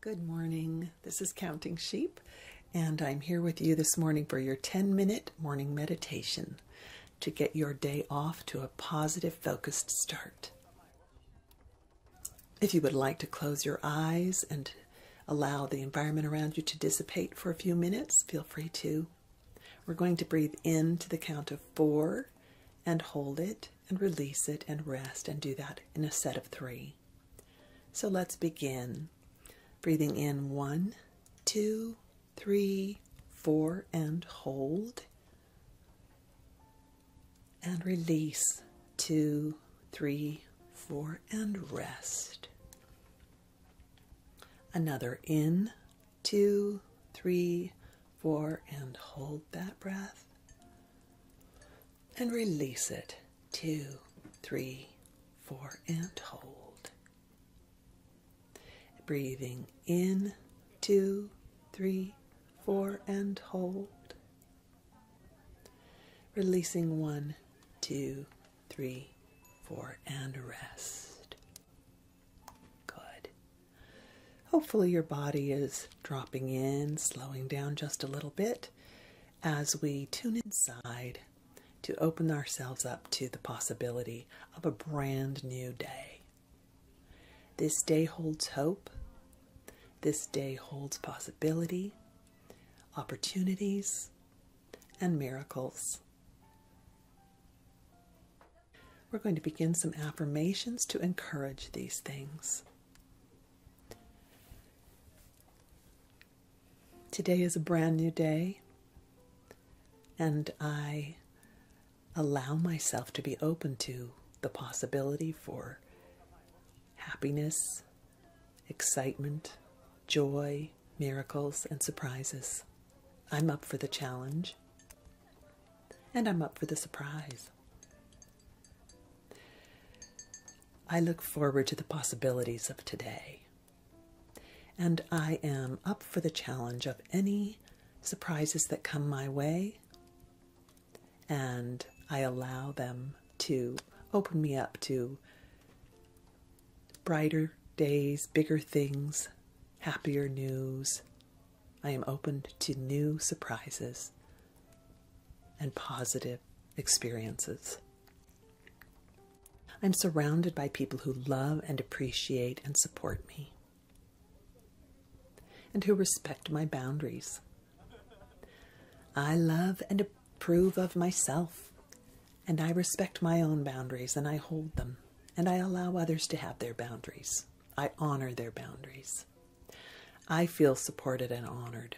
Good morning. This is Counting Sheep, and I'm here with you this morning for your 10 minute morning meditation to get your day off to a positive, focused start. If you would like to close your eyes and allow the environment around you to dissipate for a few minutes, feel free to. We're going to breathe in to the count of four and hold it and release it and rest and do that in a set of three. So let's begin. Breathing in one, two, three, four, and hold. And release two, three, four, and rest. Another in two, three, four, and hold that breath. And release it. Two, three, four, and hold. Breathing in, two, three, four, and hold. Releasing one, two, three, four, and rest. Good. Hopefully, your body is dropping in, slowing down just a little bit as we tune inside to open ourselves up to the possibility of a brand new day. This day holds hope, this day holds possibility, opportunities, and miracles. We're going to begin some affirmations to encourage these things. Today is a brand new day, and I allow myself to be open to the possibility for happiness, excitement, joy, miracles, and surprises. I'm up for the challenge, and I'm up for the surprise. I look forward to the possibilities of today, and I am up for the challenge of any surprises that come my way, and I allow them to open me up to brighter days, bigger things, happier news. I am open to new surprises and positive experiences. I'm surrounded by people who love and appreciate and support me, and who respect my boundaries. I love and approve of myself and I respect my own boundaries and I hold them, and I allow others to have their boundaries. I honor their boundaries. I feel supported and honored.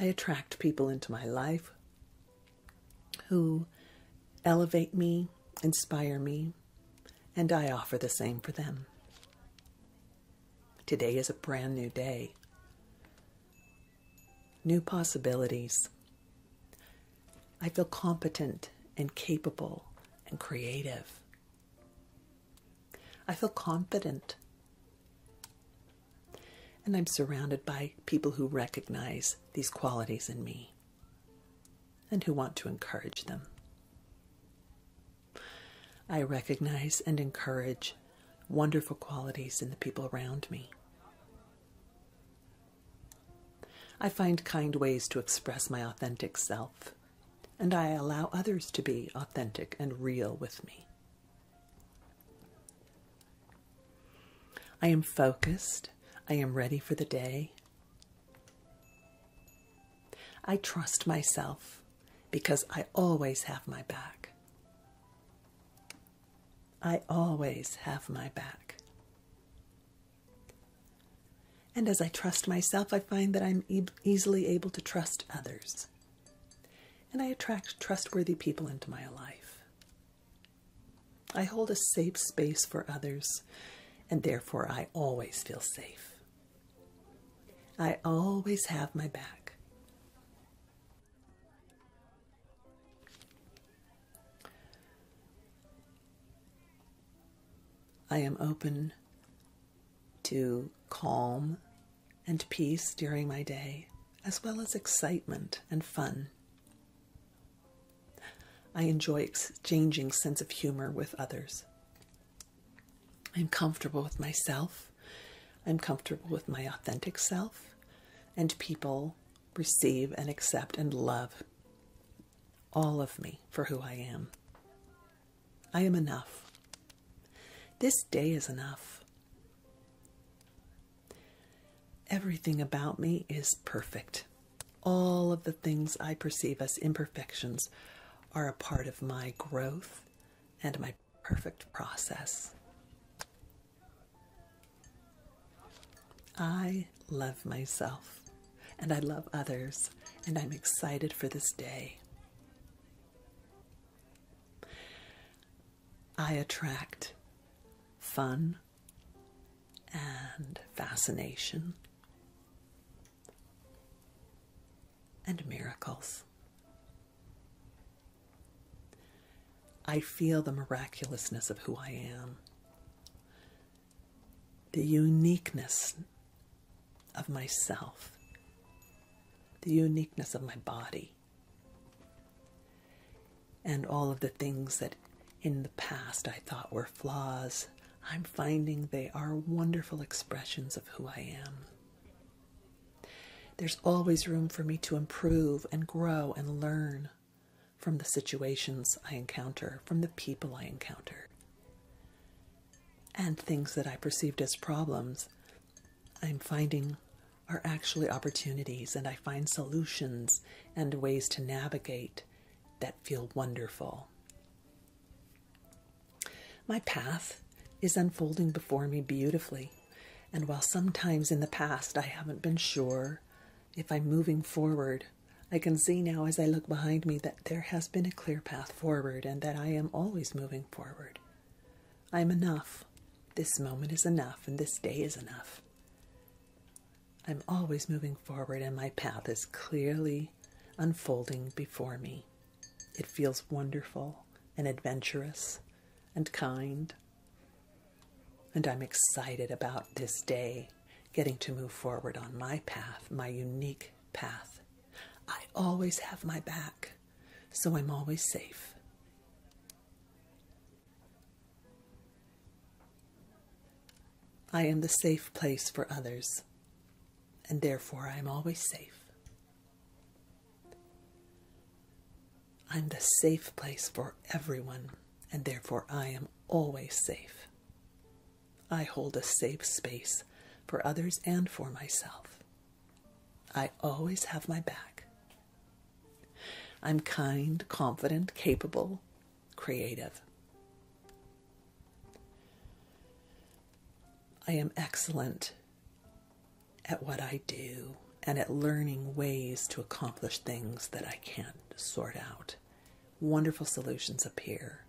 I attract people into my life who elevate me, inspire me, and I offer the same for them. Today is a brand new day new possibilities. I feel competent and capable and creative. I feel confident. And I'm surrounded by people who recognize these qualities in me and who want to encourage them. I recognize and encourage wonderful qualities in the people around me. I find kind ways to express my authentic self, and I allow others to be authentic and real with me. I am focused. I am ready for the day. I trust myself because I always have my back. I always have my back. And as I trust myself, I find that I'm easily able to trust others. And I attract trustworthy people into my life. I hold a safe space for others, and therefore I always feel safe. I always have my back. I am open to calm and peace during my day, as well as excitement and fun. I enjoy exchanging sense of humor with others. I'm comfortable with myself. I'm comfortable with my authentic self, and people receive and accept and love all of me for who I am. I am enough. This day is enough. Everything about me is perfect. All of the things I perceive as imperfections are a part of my growth and my perfect process. I love myself and I love others, and I'm excited for this day. I attract fun and fascination and miracles. I feel the miraculousness of who I am, the uniqueness of myself, the uniqueness of my body, and all of the things that in the past I thought were flaws, I'm finding they are wonderful expressions of who I am. There's always room for me to improve and grow and learn from the situations I encounter, from the people I encounter. And things that I perceived as problems, I'm finding are actually opportunities, and I find solutions and ways to navigate that feel wonderful. My path is unfolding before me beautifully, and while sometimes in the past I haven't been sure if I'm moving forward, I can see now as I look behind me that there has been a clear path forward and that I am always moving forward. I'm enough. This moment is enough, and this day is enough. I'm always moving forward, and my path is clearly unfolding before me. It feels wonderful and adventurous and kind. And I'm excited about this day, getting to move forward on my path, my unique path. I always have my back, so I'm always safe. I am the safe place for others, and therefore I am always safe. I'm the safe place for everyone, and therefore I am always safe. I hold a safe space for others and for myself. I always have my back, I'm kind, confident, capable, creative. I am excellent at what I do and at learning ways to accomplish things that I can't sort out. Wonderful solutions appear.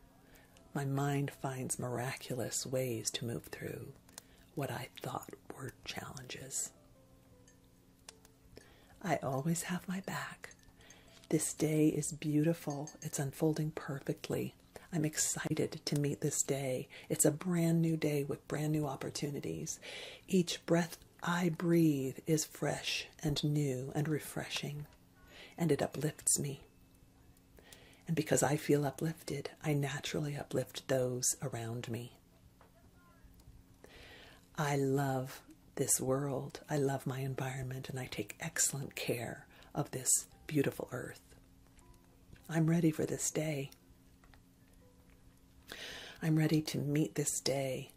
My mind finds miraculous ways to move through what I thought were challenges. I always have my back. This day is beautiful. It's unfolding perfectly. I'm excited to meet this day. It's a brand new day with brand new opportunities. Each breath I breathe is fresh and new and refreshing, and it uplifts me. And because I feel uplifted, I naturally uplift those around me. I love this world, I love my environment, and I take excellent care of this beautiful earth. I'm ready for this day. I'm ready to meet this day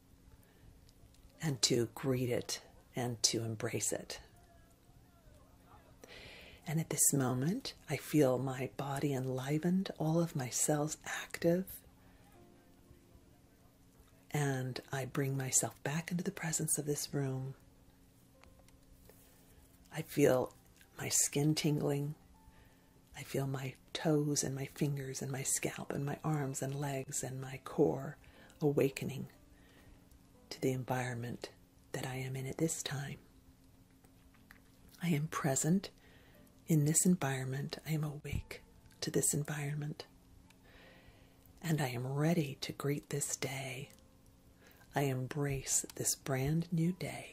and to greet it and to embrace it. And at this moment, I feel my body enlivened, all of my cells active. And I bring myself back into the presence of this room. I feel my skin tingling. I feel my toes and my fingers and my scalp and my arms and legs and my core awakening to the environment that I am in at this time. I am present in this environment. I am awake to this environment. And I am ready to greet this day. I embrace this brand new day.